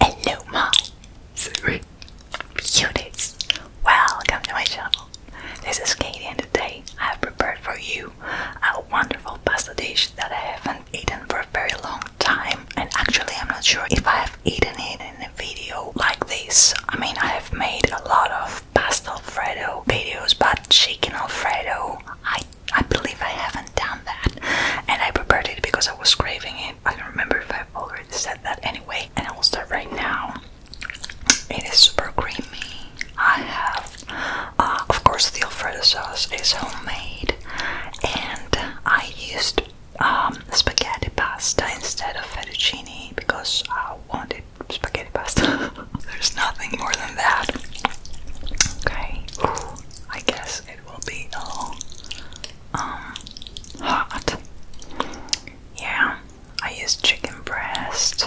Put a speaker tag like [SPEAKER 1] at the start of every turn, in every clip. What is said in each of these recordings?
[SPEAKER 1] Hello, my sweet beauties! Welcome to my channel. This is Katie, and today I have prepared for you a wonderful pasta dish that I haven't eaten for a very long time. And actually, I'm not sure if I have eaten it video like this. I mean, I have made a lot of pasta alfredo videos, but chicken alfredo, I I believe I haven't done that. And I prepared it because I was craving it. I don't remember if I've already said that anyway. And I will start right now. It is super creamy. I have, uh, of course, the alfredo sauce is homemade, and I used um, spaghetti pasta instead of fettuccine because I wanted spaghetti pasta. There's nothing more than that. Okay, I guess it will be all um, hot. Yeah, I use chicken breast.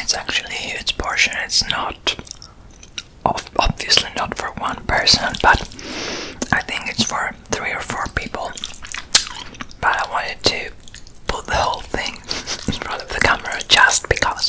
[SPEAKER 1] It's actually a huge portion. It's not obviously not for one person, but I think it's for three or four people. But I wanted to put the whole thing in front of the camera just because.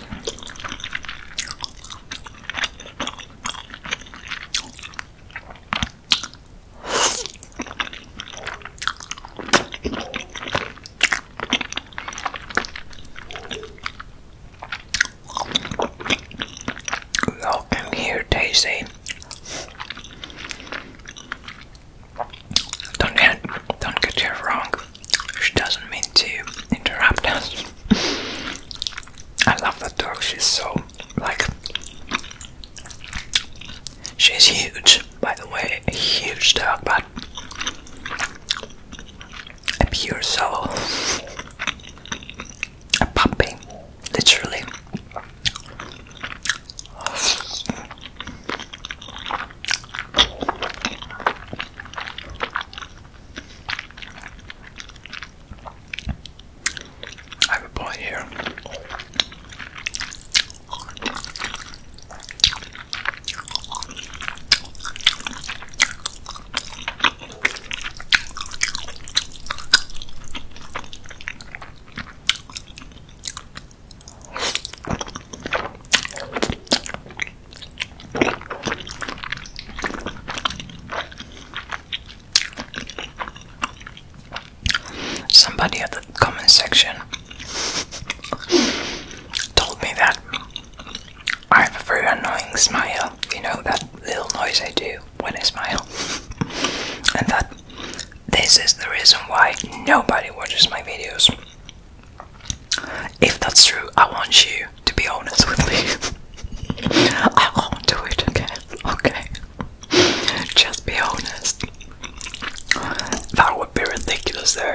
[SPEAKER 1] Welcome here, Daisy. Don't get don't get her wrong. She doesn't mean to interrupt us. I love that dog. She's so like she's huge, by the way, a huge dog, but a pure soul, a puppy, literally. I have a boy here. Somebody at the comment section told me that I have a very annoying smile, you know, that little noise I do when I smile, and that this is the reason why nobody watches my videos. If that's true, I want you to be honest with me. I won't do it again, okay? Just be honest. That would be ridiculous, though.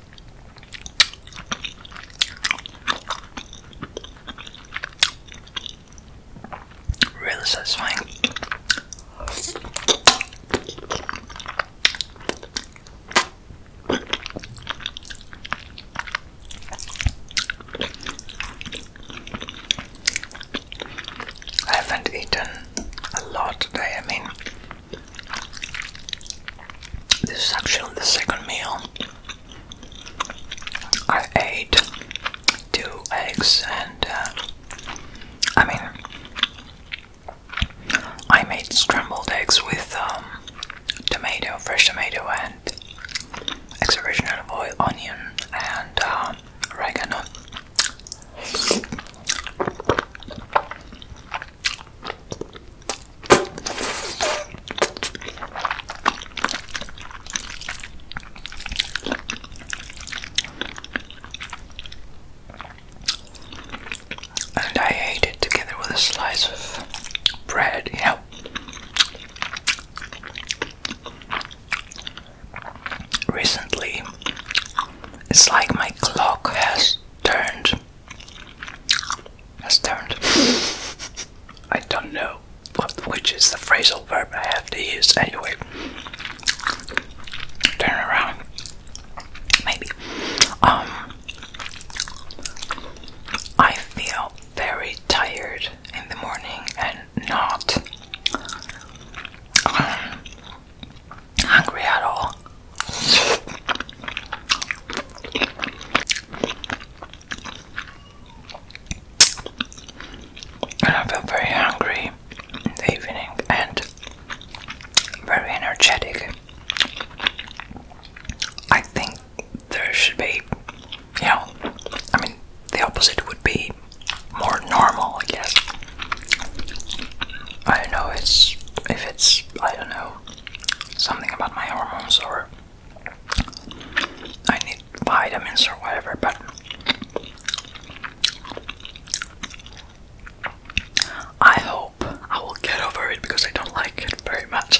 [SPEAKER 1] Really satisfying. I haven't eaten a lot today. I mean, this is actually the second meal I ate two eggs and uh, I mean I made scrambled eggs with um, tomato, fresh tomato and extra virgin olive oil, onion and uh, oregano and I ate it together with a slice of bread, you Recently, it's like my clock has turned that's turned. I don't know what, which is the phrasal verb I have to use anyway. Turn around. Maybe. Um, I feel very tired in the morning and not. Um, hungry at all. And I feel very hungry in the evening and very energetic. I think there should be, you know, I mean, the opposite would be more normal, I guess. I know it's if it's I don't know something about my hormones or I need vitamins or whatever, but I hope I will get over it because I don't like it very much.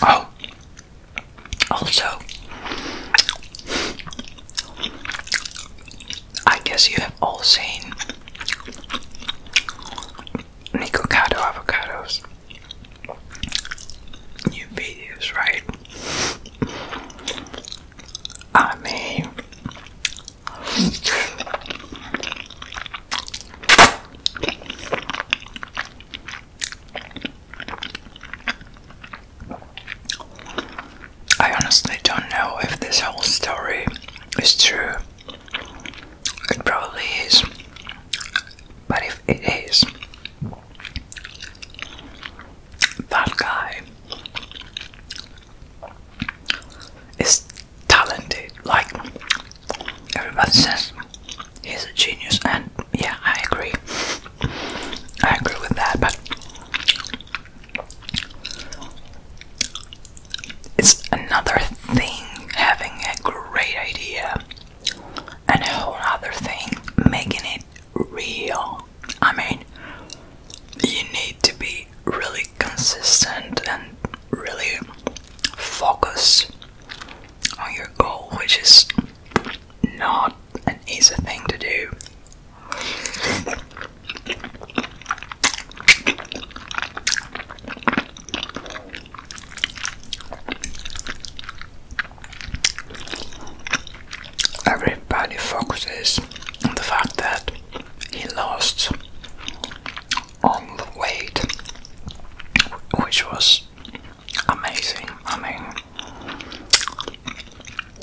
[SPEAKER 1] Oh. also, I guess you have all seen Nikocado avocados new right? I mean, I honestly don't know if this whole story is true. It probably is. But if it is, that guy is talented. Like everybody says, he's a genius, and yeah, I agree. I agree with that, but it's another thing having a great idea and a whole other thing making it real. I mean, you need to be really consistent and really focus on your goal, which is not an easy thing to do. Everybody focuses on the fact that he lost all the weight, which was amazing. I mean,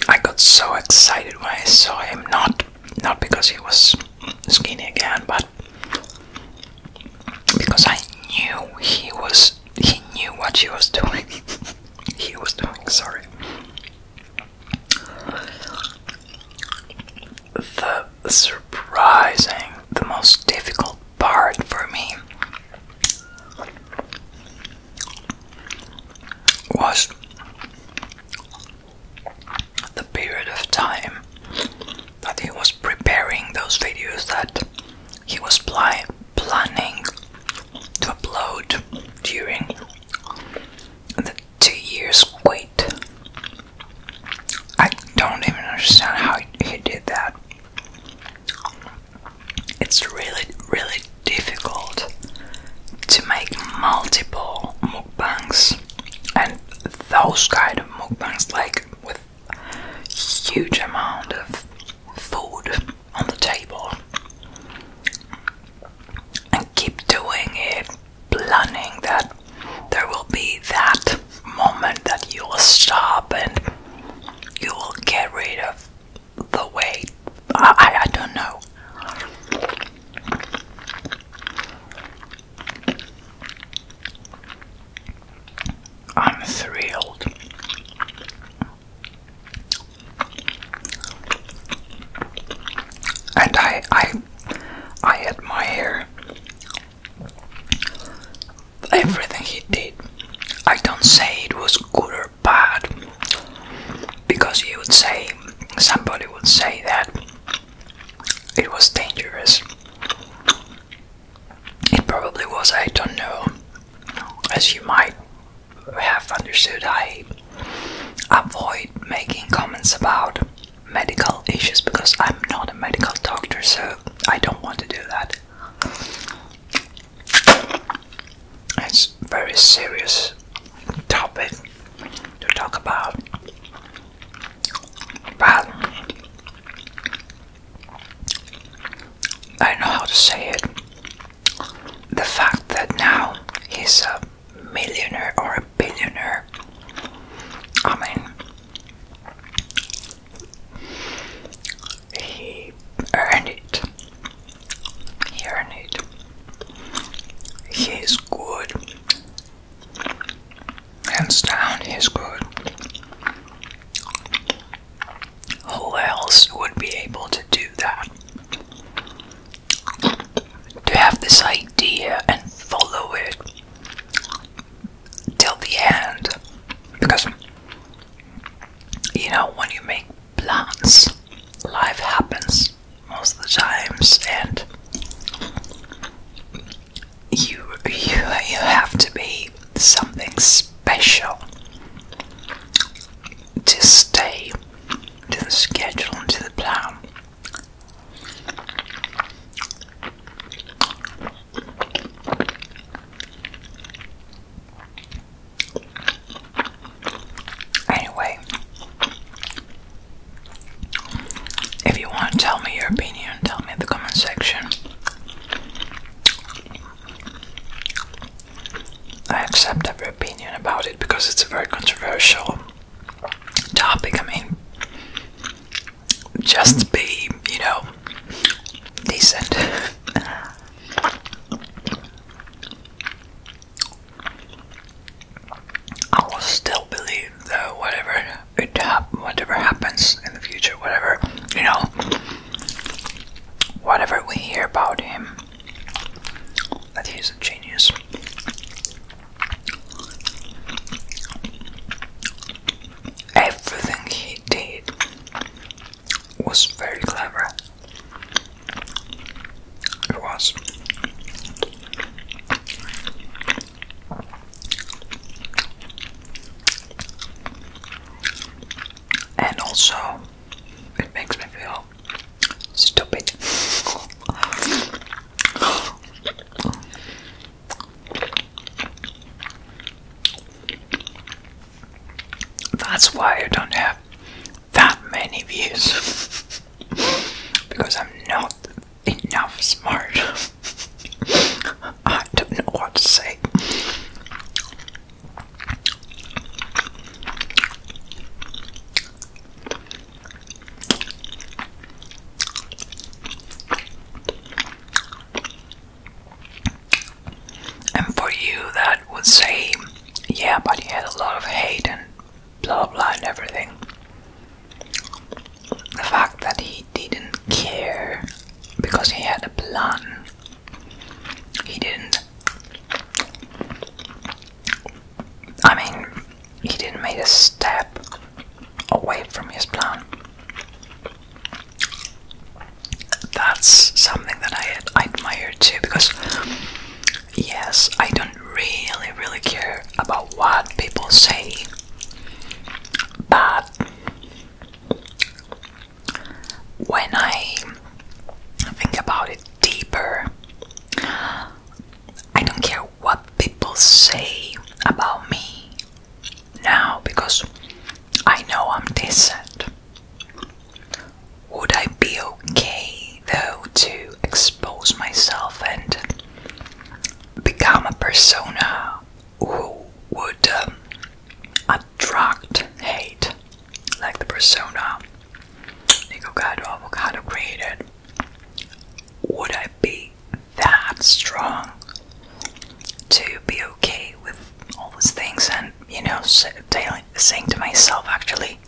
[SPEAKER 1] I got so excited when I saw him. Not not because he was skinny again, but because I knew he was he knew what she was doing. he was doing, sorry. The surprising, the most difficult part for me was the period of time that he was preparing those videos that he was planning to upload during the two years wait. I don't even understand how he did that. It's really, really difficult to make multiple mukbangs and those kind of mukbangs like with huge amount of food on the table and keep doing it planning that there will be that moment that you will stop and you will get rid of the weight I, I, don't know I'm thrilled. And I I I admire everything he did. I don't say it was good or bad because you would say somebody would say that it was dangerous. It probably was, I don't know. As you might have understood, I avoid making comments about medical issues because I'm not a medical doctor, so I don't want to do that. It's very serious topic to talk about but I don't know how to say it. The fact that now he's a millionaire or a billionaire, I mean, he earned it. earned it. He is good. Hands down, is good. Who else would be able to do that? To have this idea and follow it till the end. Because, you know, when you make plans, life happens most of the times, and you you you have to be something special to stay to the schedule and to the plan. Anyway, if you want to tell me your opinion, tell me in the comment section. I accept every opinion about it because it's a very controversial topic. I mean, just be, you know, decent. I will still believe that whatever it whatever happens in the future, whatever you know, whatever we hear about him, that he's a genius. Everything he did was very clever. It was. And also, it makes me feel stupid. That's why I don't have that many views because I'm not enough smart. I don't know what to say. And for you that would say, yeah, but he had a lot of hate and blah blah and everything. The fact that he didn't care because he had a plan. He didn't. I mean, he didn't make a step away from his plan. That's something that I admire too, because Yes, I don't really, really care about what people say, but when I think about it deeper, I don't care what people say about me now because I know I'm decent. Would I be okay though to expose myself and become a persona who would um, attract hate? Like the persona Nicogado Avocado created. Would I be that strong to be okay with all these things and, you know, saying to myself, actually,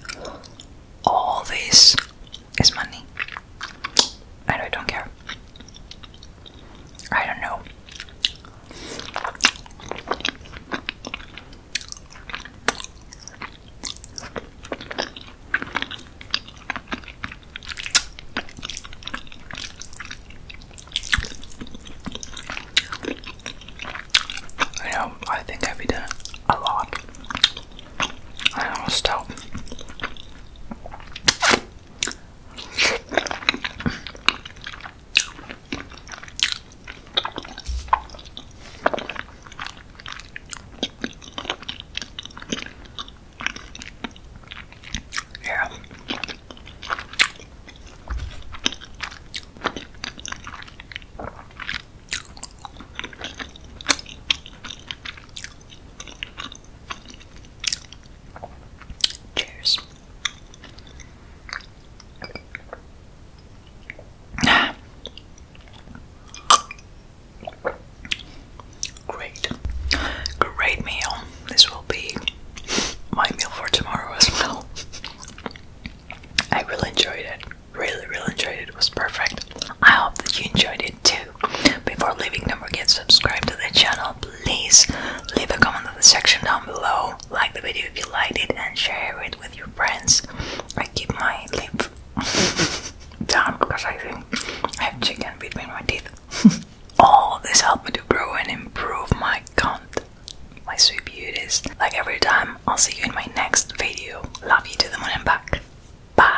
[SPEAKER 1] all this is money. I don't care. I don't know. You know, I think I've eaten a lot. I almost stop. Yeah. Cheers. Great. Great meal. This will be my meal for tomorrow as well. I really enjoyed it really, really enjoyed it. It was perfect. I hope that you enjoyed it too. Before leaving, don't forget to subscribe to the channel. Please leave a comment in the section down below. Like the video if you liked it and share it with your friends. I keep my lip down because I think I have chicken between my teeth. All this helped me to grow and improve my content my sweet beauties. Like every time, I'll see you in my next video. Love you to the moon and back. Bye.